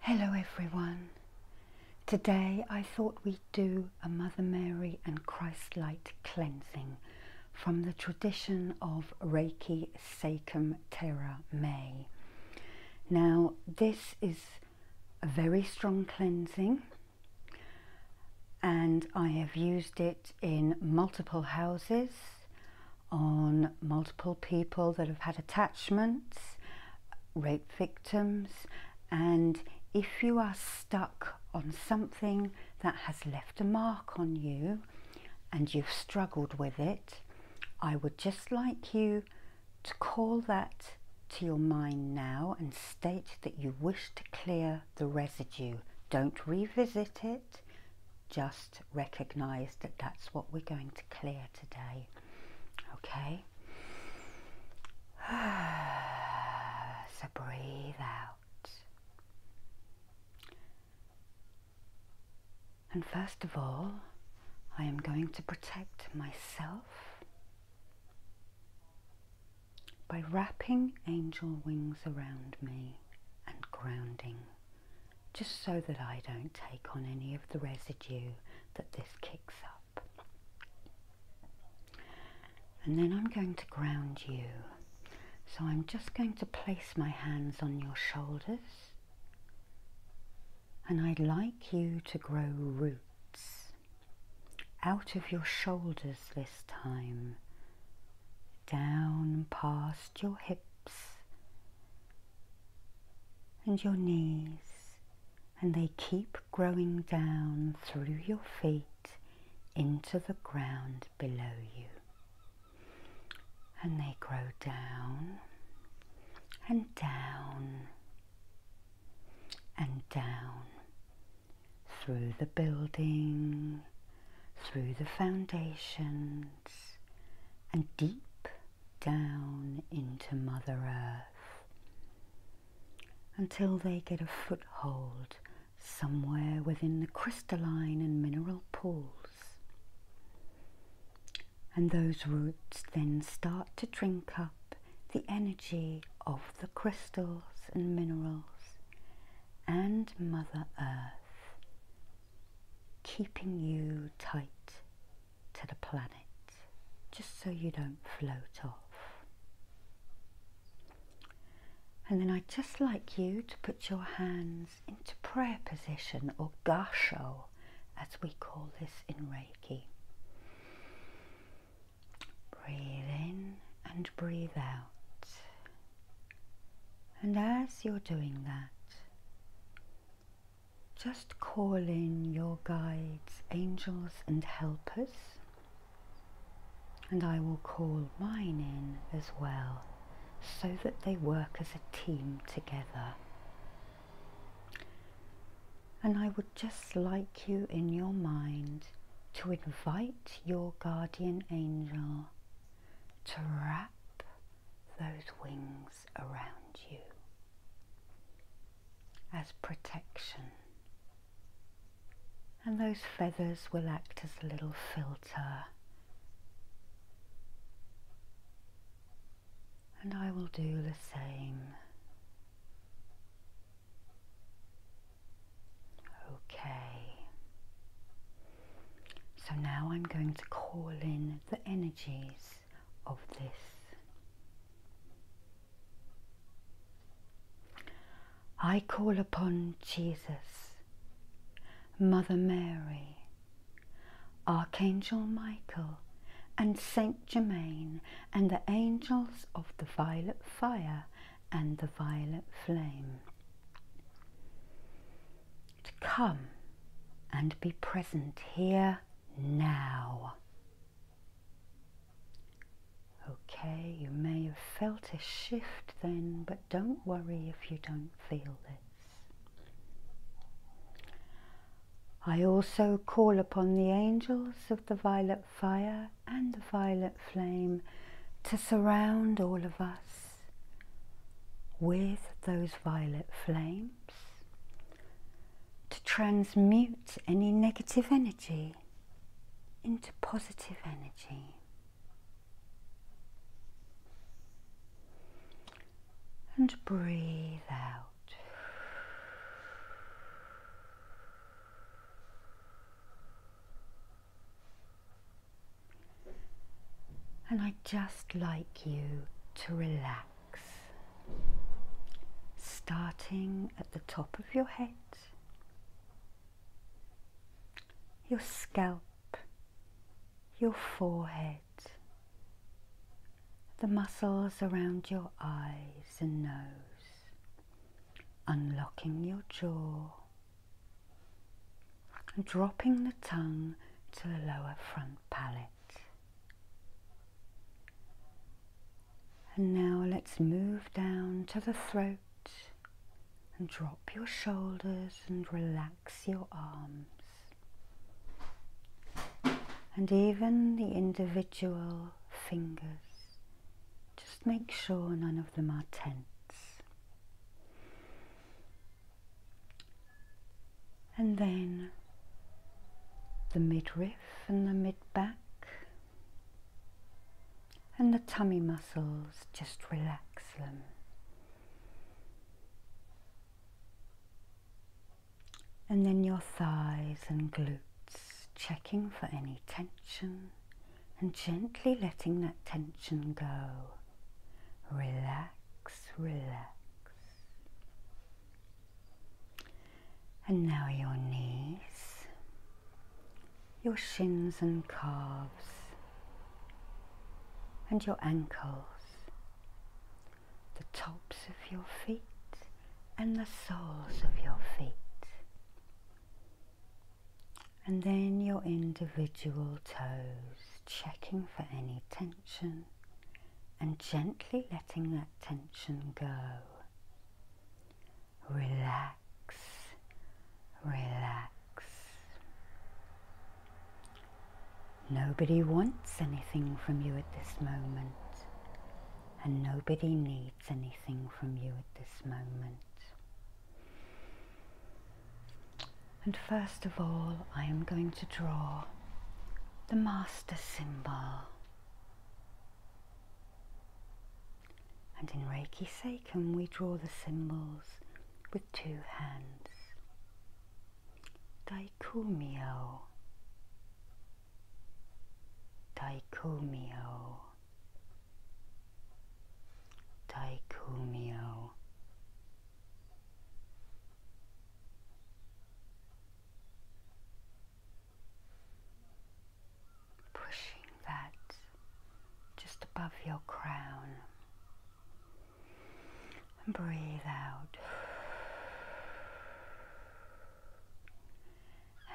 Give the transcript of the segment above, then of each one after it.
Hello everyone. Today I thought we'd do a Mother Mary and Christ Light cleansing from the tradition of Reiki Sachem Terra May. Now this is a very strong cleansing and I have used it in multiple houses on multiple people that have had attachments, rape victims, and if you are stuck on something that has left a mark on you and you've struggled with it, I would just like you to call that to your mind now and state that you wish to clear the residue. Don't revisit it, just recognize that that's what we're going to clear today. Okay? so breathe out. And first of all, I am going to protect myself by wrapping angel wings around me and grounding just so that I don't take on any of the residue that this kicks up. And then I'm going to ground you. So I'm just going to place my hands on your shoulders and I'd like you to grow roots out of your shoulders this time, down past your hips and your knees, and they keep growing down through your feet into the ground below you. And they grow down and down and down through the building, through the foundations, and deep down into Mother Earth until they get a foothold somewhere within the crystalline and mineral pools. And those roots then start to drink up the energy of the crystals and minerals and Mother Earth keeping you tight to the planet just so you don't float off. And then I'd just like you to put your hands into prayer position or gasho as we call this in Reiki. Breathe in and breathe out. And as you're doing that, just call in your guides, angels, and helpers, and I will call mine in as well so that they work as a team together. And I would just like you in your mind to invite your guardian angel to wrap those wings around you as protection. And those feathers will act as a little filter. And I will do the same. Okay. So now I'm going to call in the energies of this. I call upon Jesus, Mother Mary, Archangel Michael, and Saint Germain, and the angels of the violet fire and the violet flame to come and be present here now. Okay, you may have felt a shift then, but don't worry if you don't feel this. I also call upon the angels of the violet fire and the violet flame to surround all of us with those violet flames to transmute any negative energy into positive energy. And breathe out. And I just like you to relax. Starting at the top of your head, your scalp, your forehead, the muscles around your eyes and nose, unlocking your jaw, and dropping the tongue to the lower front palate. And now let's move down to the throat and drop your shoulders and relax your arms. And even the individual fingers. Just make sure none of them are tense and then the midriff and the mid back and the tummy muscles, just relax them. And then your thighs and glutes, checking for any tension and gently letting that tension go. Relax, relax. And now your knees, your shins and calves, and your ankles, the tops of your feet and the soles of your feet. And then your individual toes, checking for any tension and gently letting that tension go. Relax, relax. Nobody wants anything from you at this moment, and nobody needs anything from you at this moment. And first of all, I am going to draw the master symbol. And in Reiki Seiken, we draw the symbols with two hands. Daikumio. Daikumio. Daikumio. Pushing that just above your crown. And breathe out.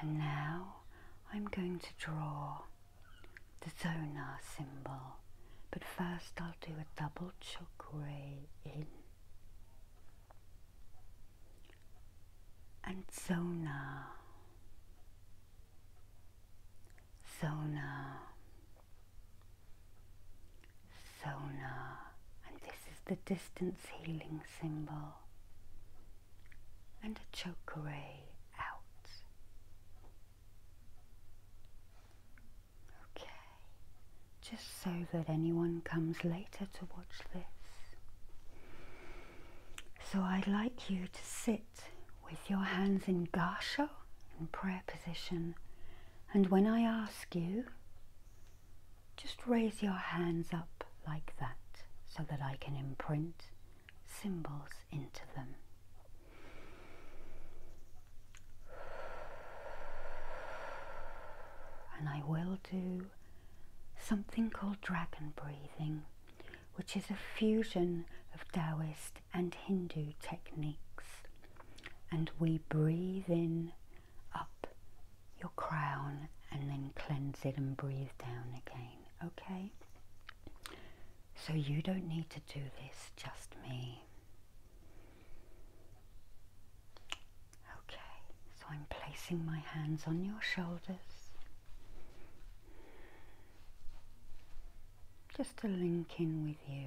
And now I'm going to draw the zonar symbol, but first I'll do a double chakra in and zona, zona, zona, and this is the distance healing symbol and a choke ray out. Okay, just so that anyone comes later to watch this. So I'd like you to sit with your hands in gharsha, in prayer position and when I ask you, just raise your hands up like that so that I can imprint symbols into them. And I will do something called dragon breathing, which is a fusion of Taoist and Hindu techniques. And we breathe in up your crown and then cleanse it and breathe down again, okay? So you don't need to do this, just me. Okay, so I'm placing my hands on your shoulders, just to link in with you.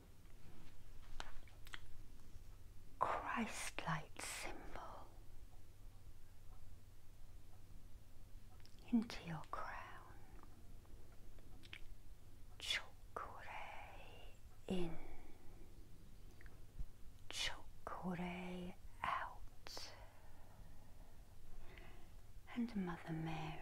Christ like symbol into your crown. Chokure in, chokure out. And Mother Mary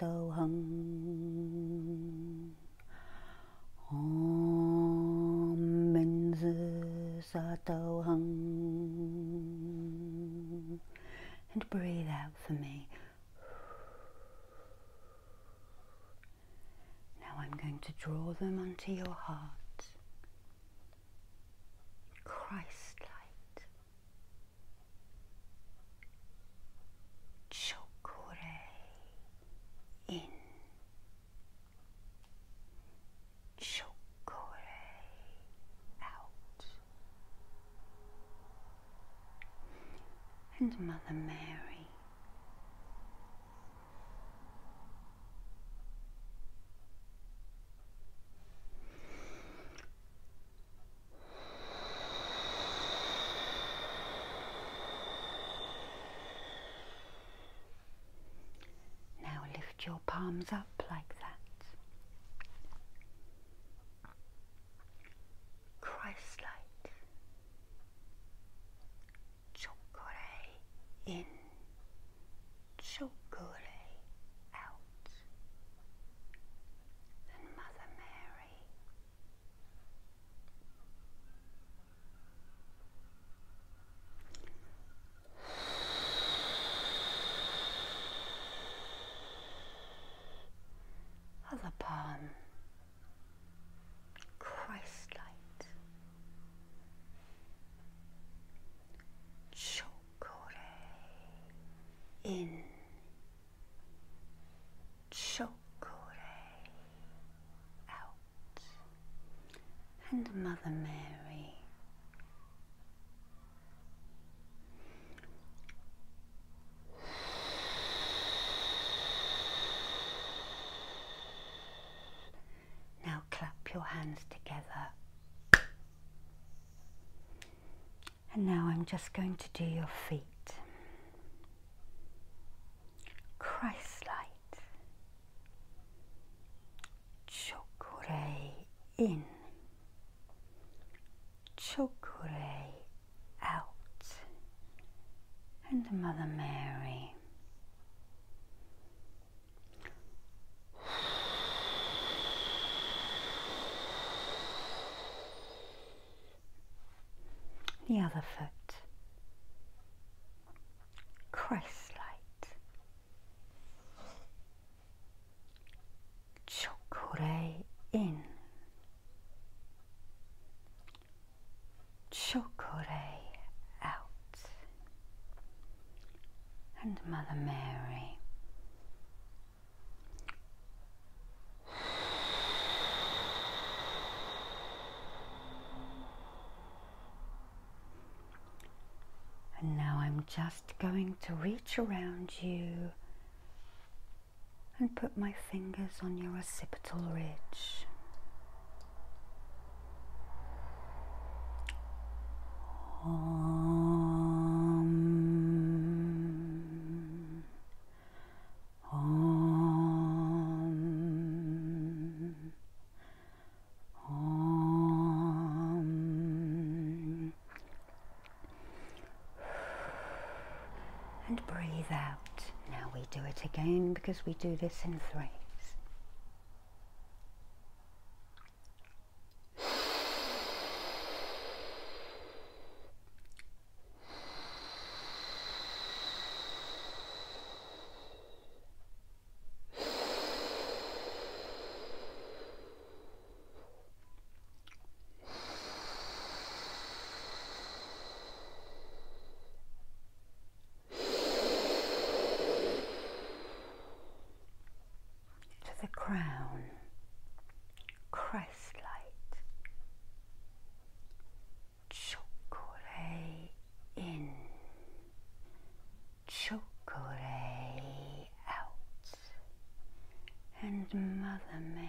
तौहं Om Minz सतौहं and breathe out for me. Now I'm going to draw them onto your heart. Christ light chocolate in chocolate out and Mother Mary now lift your palms up like that. Christ light. in. Chokore out than Mother Mary. Other palm, Christ light, chocore in Chokore out, and Mother Mary. Now clap your hands together and now I'm just going to do your feet. Christ light. Chokure in. Chokure out. And Mother Mary. The other foot. Christ light. Chokore in. Chokore out. And Mother Mary and now I'm just going to reach around you and put my fingers on your occipital ridge. Om. Om. Om. And breathe out. Now we do it again because we do this in threes to the crown, crown flashlight. Chocolate in, chocolate out, and Mother Mary.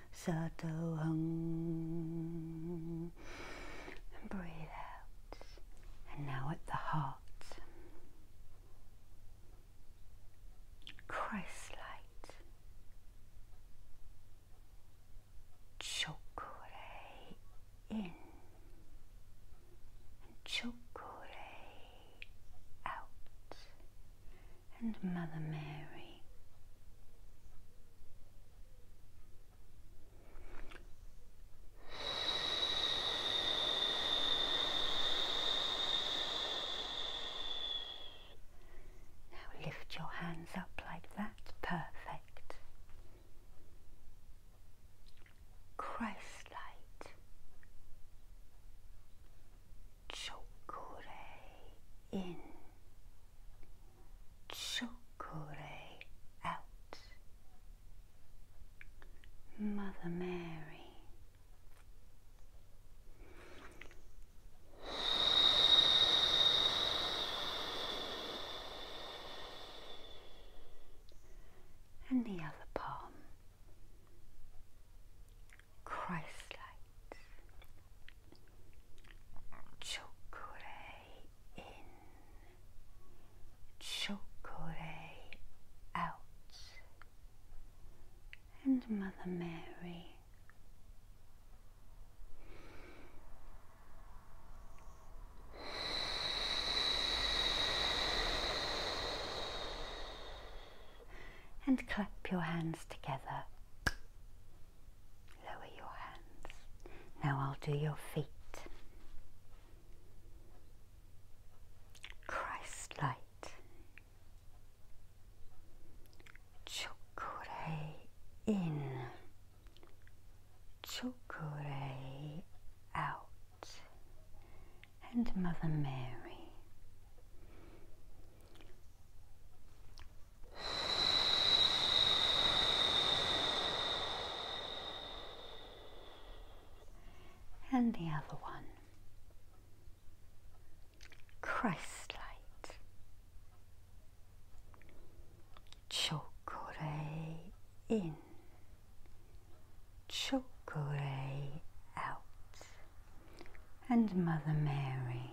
Sato Hung. And breathe out. And now at the heart. Christ light. Chokure in. And chokure out. And Mother Mary. Now lift your hands up like that. Perfect. Christ light. Chokure in. Chokure out. Mother Mary. And the other palm. Christ light. Chokore in, Chokore out, and Mother Mary. And clap your hands together. Lower your hands. Now I'll do your feet. Christ light. Chokure in. Chokure out. And Mother Mary and the other one. Christ light. Chokore in. Chokore out. And Mother Mary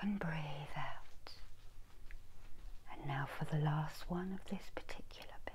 And breathe out. And now for the last one of this particular bit.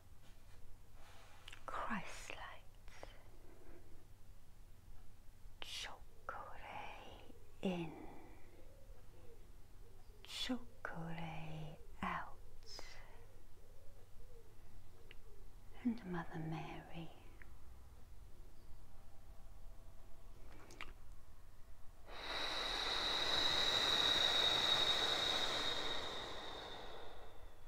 Christ lights. Chocolate in, chocolate out, and Mother Mary.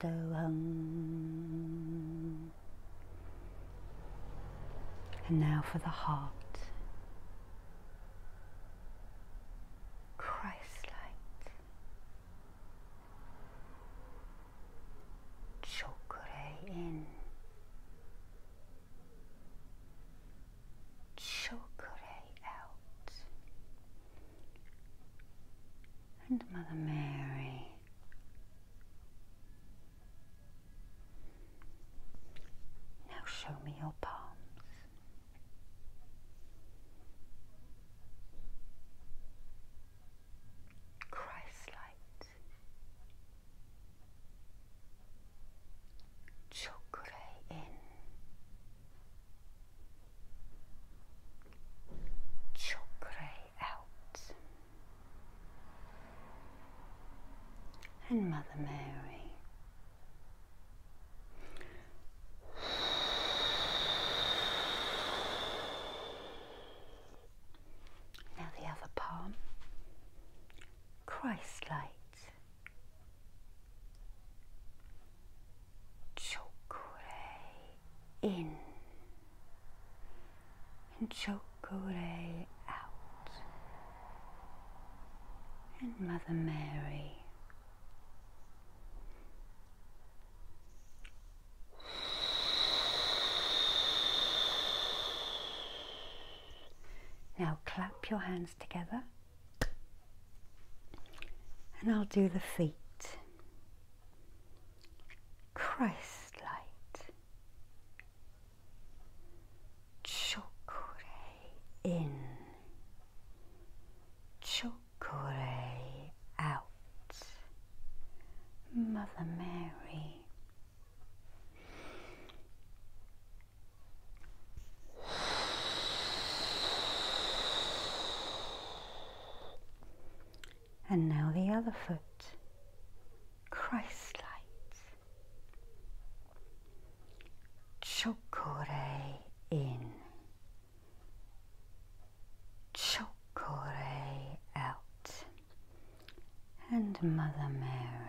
Sadoham. And now for the heart. Christ light. Chokure in. Chokure out and Mother Mary. Now show me your palms. Christ light. Chokure in. Chokray out. And Mother Mary. Now the other palm. Christ light. Chokray in and Chokure out, and Mother Mary. Now clap your hands together and I'll do the feet. Christ light. chocolate in. chocolate out. Mother Mary. And now the other foot. Christ light. Chokore in. Chokore out. And Mother Mary.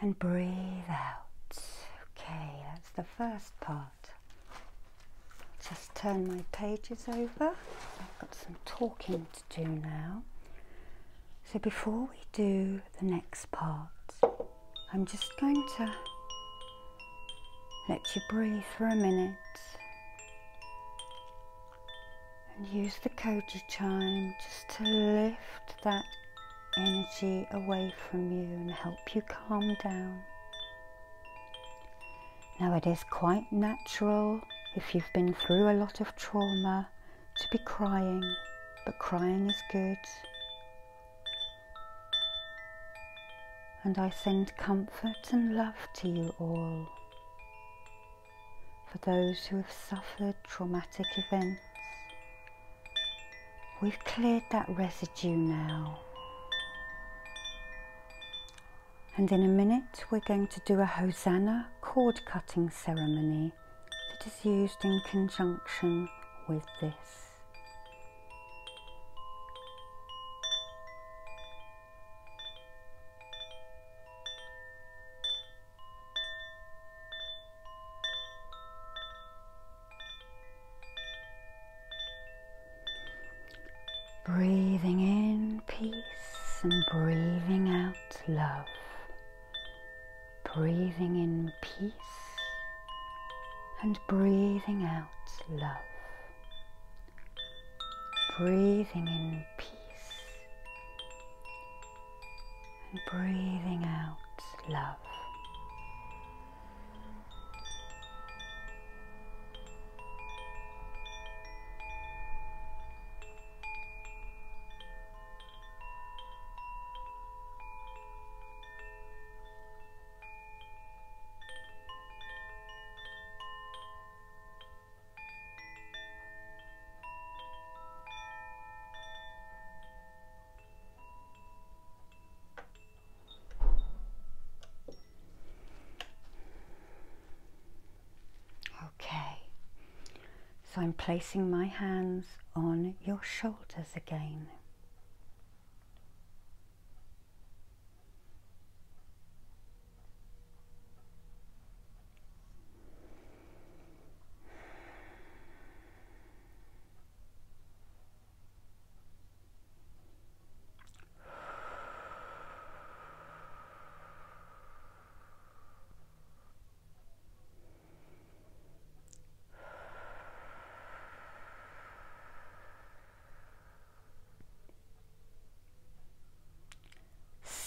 and breathe out. Okay, that's the first part. Just turn my pages over. I've got some talking to do now. So before we do the next part, I'm just going to let you breathe for a minute and use the Koji chime just to lift that energy away from you and help you calm down. Now, it is quite natural if you've been through a lot of trauma to be crying, but crying is good. And I send comfort and love to you all for those who have suffered traumatic events We've cleared that residue now. And in a minute, we're going to do a Hosanna cord cutting ceremony that is used in conjunction with this. Breathing in peace and breathing out love. Breathing in peace and breathing out love. Breathing in peace and breathing out love. Okay, so I'm placing my hands on your shoulders again.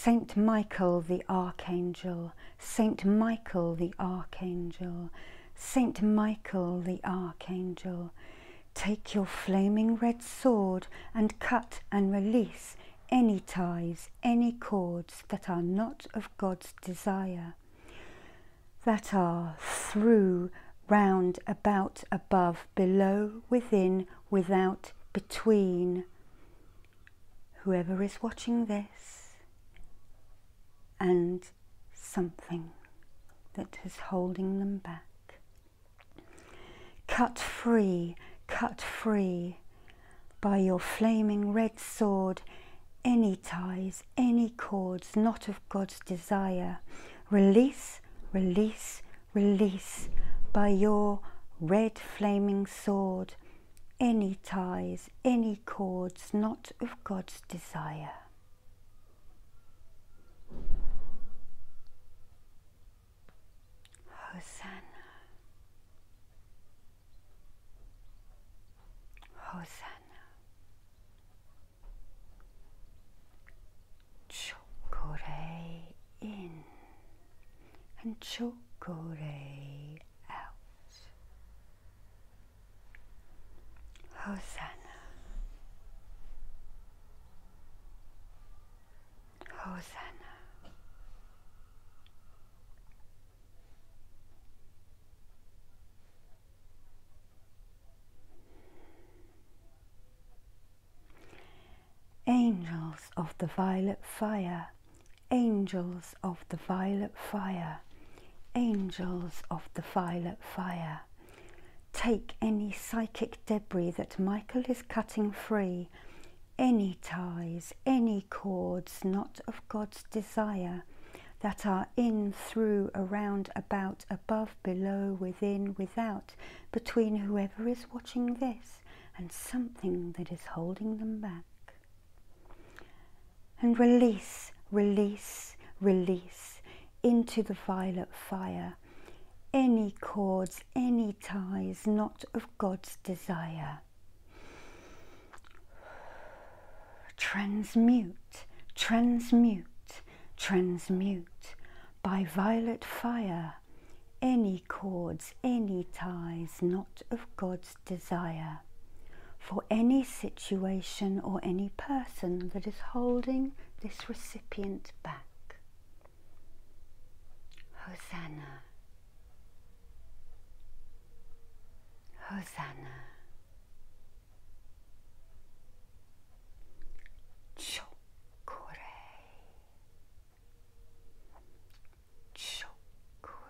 Saint Michael the Archangel, Saint Michael the Archangel, Saint Michael the Archangel, take your flaming red sword and cut and release any ties, any cords that are not of God's desire, that are through, round, about, above, below, within, without, between. Whoever is watching this and something that is holding them back. Cut free, cut free by your flaming red sword any ties, any cords not of God's desire. Release, release, release by your red flaming sword any ties is any chords not of God's desire. Hosanna. Hosanna. Chokore in and chokore out. Hosanna. Hosanna. Angels of the violet fire, angels of the violet fire, Angels of the violet fire, take any psychic debris that Michael is cutting free, any ties, any cords not of God's desire, that are in, through, around, about, above, below, within, without, between whoever is watching this and something that is holding them back. And release, release, release into the violet fire any cords, any ties not of God's desire. Transmute, transmute, transmute by violet fire any cords, any ties not of God's desire for any situation or any person that is holding this recipient back. Hosanna. Hosanna. Chokure. Chokure.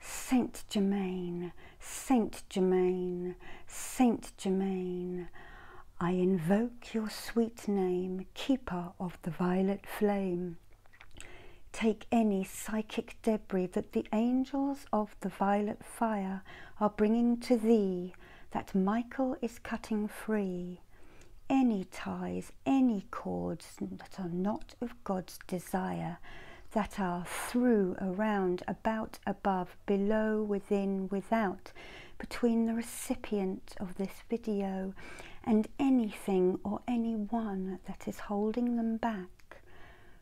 Saint Germain, Saint Germain, Saint Germain, I invoke your sweet name, keeper of the violet flame. Take any psychic debris that the angels of the violet fire are bringing to thee, that Michael is cutting free. Any ties, any cords that are not of God's desire, that are through, around, about, above, below, within, without, between the recipient of this video and anything or anyone that is holding them back.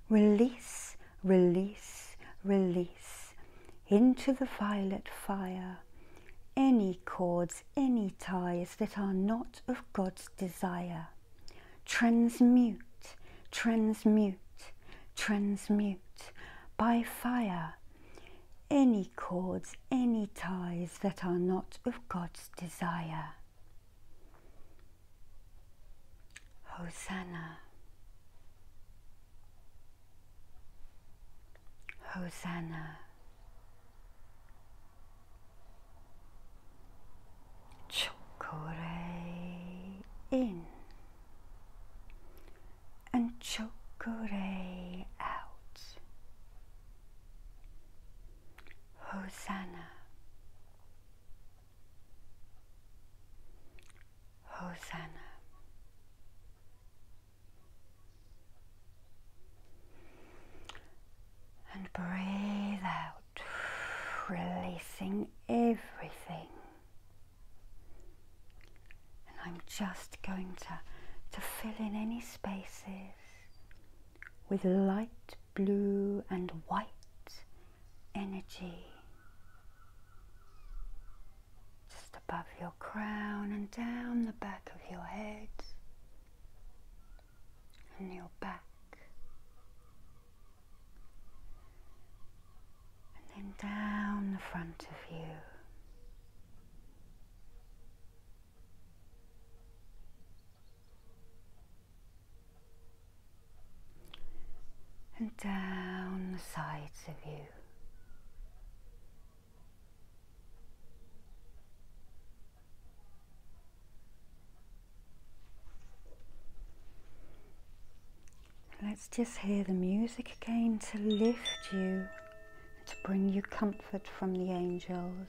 Release, release, release into the violet fire any cords, any ties that are not of God's desire. Transmute, transmute, transmute by fire any cords, any ties that are not of God's desire. Hosanna. Hosanna chocolate in and chocolate out. Hosanna, Hosanna. And breathe out releasing everything. And I'm just going to, to fill in any spaces with light blue and white energy. Just above your crown and down the back of your head and your back and then down the front of you. And down the sides of you. Let's just hear the music again to lift you, to bring you comfort from the angels.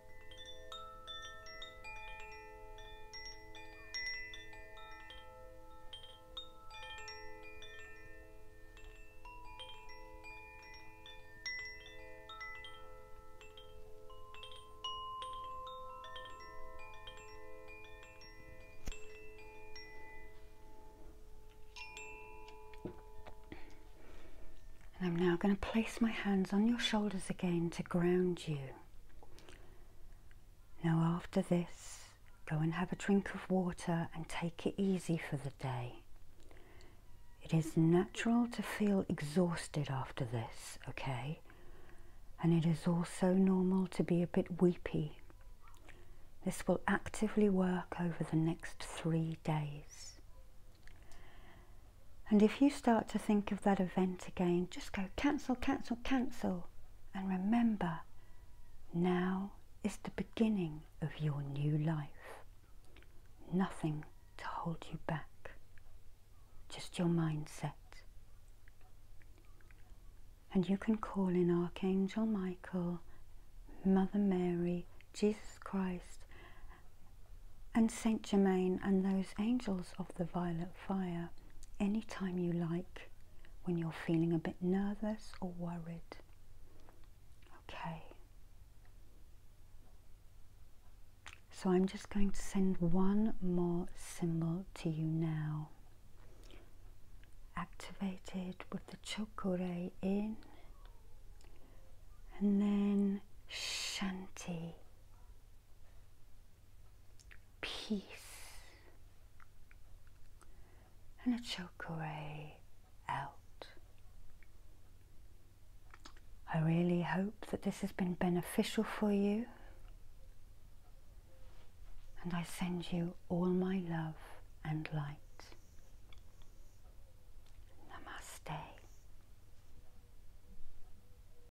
And I'm now going to place my hands on your shoulders again to ground you. Now, after this, go and have a drink of water and take it easy for the day. It is natural to feel exhausted after this, okay? And it is also normal to be a bit weepy. This will actively work over the next three days. And if you start to think of that event again, just go cancel, cancel, cancel. And remember, now is the beginning of your new life. Nothing to hold you back, just your mindset. And you can call in Archangel Michael, Mother Mary, Jesus Christ, and Saint Germain and those angels of the violet fire anytime you like when you're feeling a bit nervous or worried. Okay. So I'm just going to send one more symbol to you now. Activated with the chokure in and then shanti peace. And a choke ray out. I really hope that this has been beneficial for you. And I send you all my love and light. Namaste.